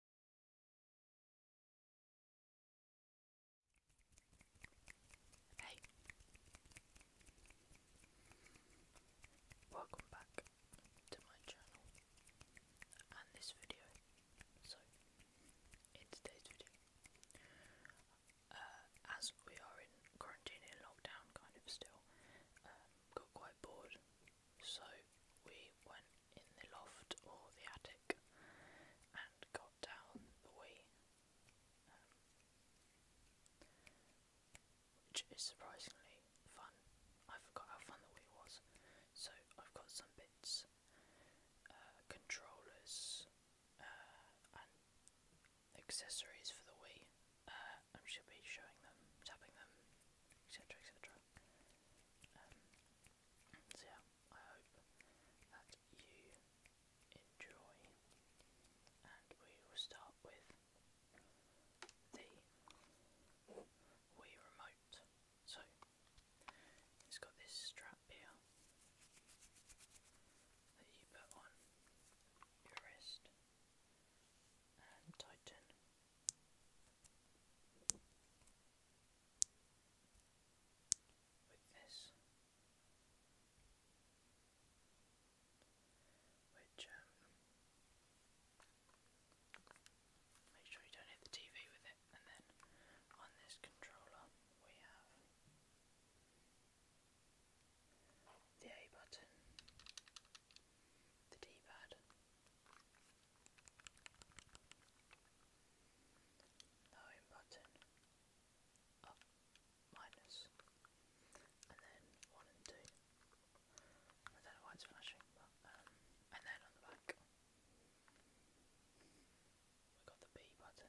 Hey, welcome back to my channel and this video. So, in today's video, uh, as we are in quarantine and lockdown, kind of still, um, got quite bored, so we went in the loft or the attic and got down the way, um, which is surprisingly fun. I forgot how fun the way was. So I've got some bits, uh, controllers, uh, and accessories for the Wii. Uh, I should be showing them, tapping them, etc. etc. So I hope that you enjoy, and we will start with the Wii remote. So it's got this strap here that you put on your wrist and tighten with um, make sure you don't hit the TV with it, and then on this controller we have the A button, the D pad. The home button up minus and then one and two. I don't know flashing, but um, and then on the back we got the B button.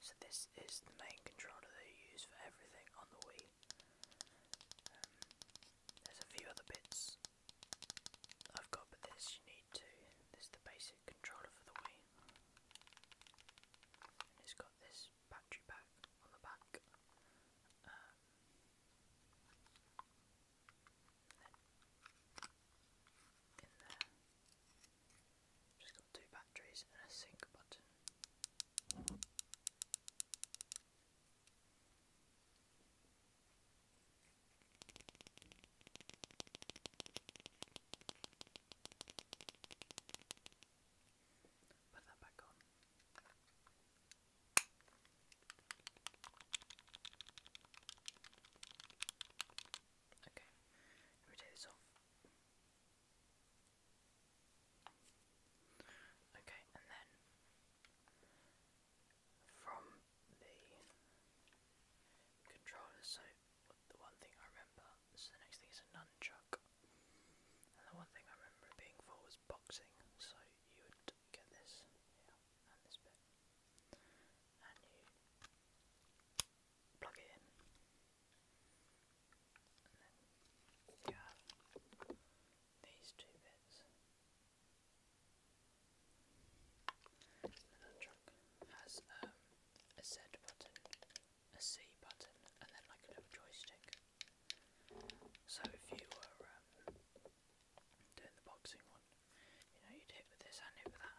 So this is the main controller that you use for everything on the Wii. Um, there's a few other bits I've got, but this you need to. This is the basic controller for the Wii. it's got this battery pack on the back. Um, in there, just got two batteries and a sync button. Put that back on. Okay, let me take this off. Okay, and then from the controller, so the one thing I remember, so the next thing is a nunchuck, and the one thing I remember it being for was boxing, so you would get this, and this bit, and you plug it in. these two bits. And that has um, a Z button, a C button, and then like a little joystick. So if you were um, doing the boxing one, you know, you'd hit with this hand, hit with that hand.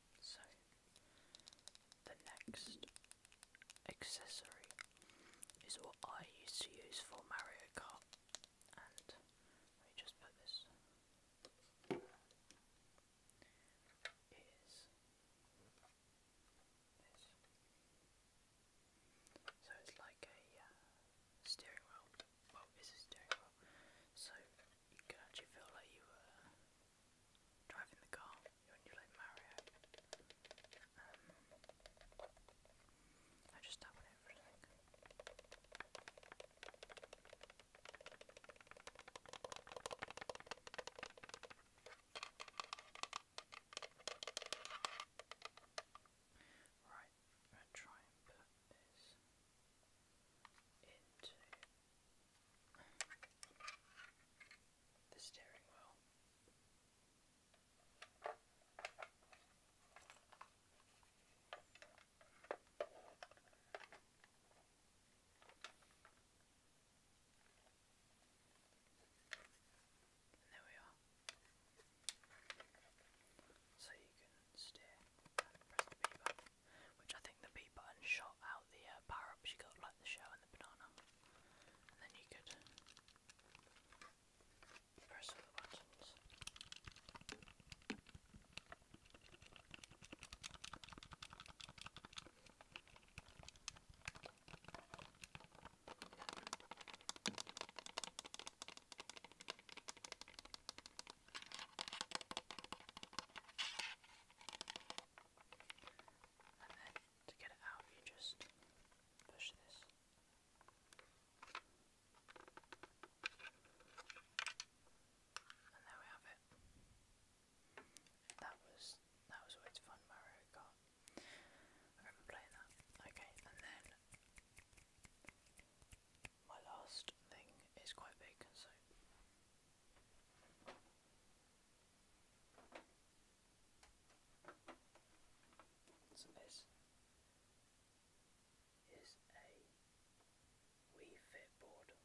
so, the next accessory is what I used to use for Mario Kart, and let me just put this. So it's like a uh, steering wheel well, So you can actually feel like you were driving the car when you're like Mario. Um, I just tap on Right, I'm gonna try and put this into the steering wheel. there we are. So you can steer press the button which I think the B button shot out the uh, power ups you got, like the shell and the banana. And then you could press all the buttons. And then to get it out, you just push this. And there we have it. That was that was always fun, Mario Kart. I remember playing that. Okay, and then my last thing is quite big, so. So this is a Wii Fit board. And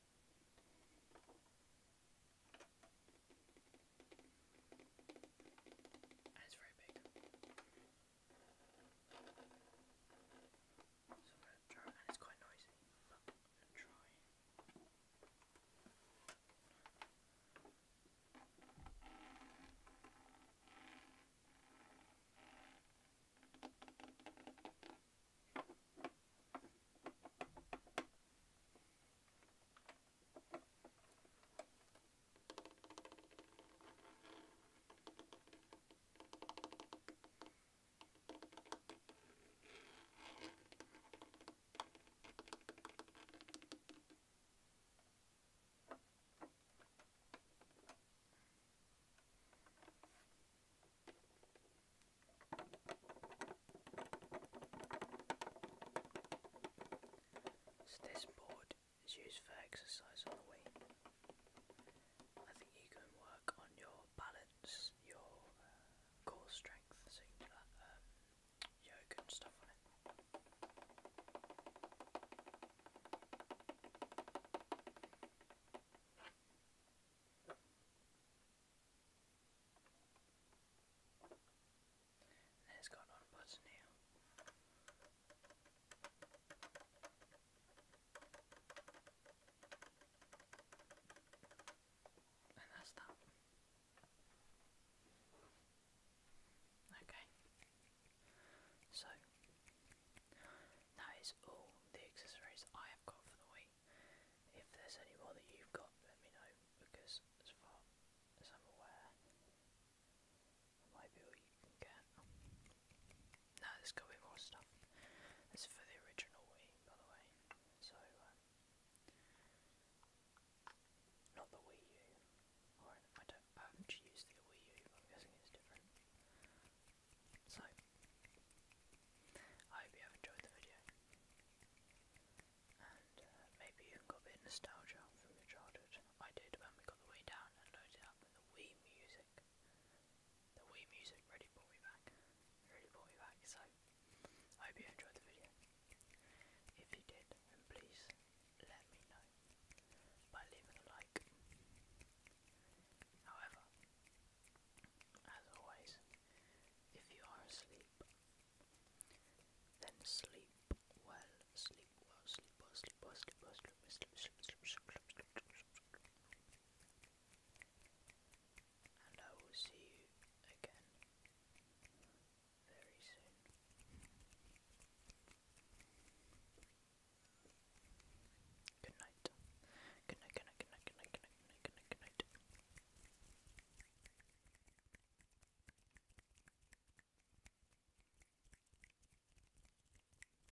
very big. So I'm going to try and it's quite noisy, but I'm going to try. Right, so this board is used for exercise on the Wii. I think you can work on your balance, your uh, core strength, so um, yoga and stuff on it. And it's on button here. And that's that. Okay. So that is all the accessories I have got for the week. If there's any more that you've got, let me know because as far as I'm aware, that might be all you can get. No, there's got to be more stuff. This is for the original Wii, by the way. So, uh, not the Wii U. don't. haven't used the Wii U, am guessing it's different. So, I hope you have enjoyed the video, and uh, maybe you got a bit nostalgia from your childhood. I did when we got the Wii down and loaded up the Wii music the Wii music really brought me back. It really brought me back. So I hope you enjoyed the video. If you did, please let me know by leaving a like. However, as always, if you are asleep, then sleep well, sleep well, sleep well, sleep sleep I will see you again very soon. good night, good night, good night, good night, good night, good night. Good night.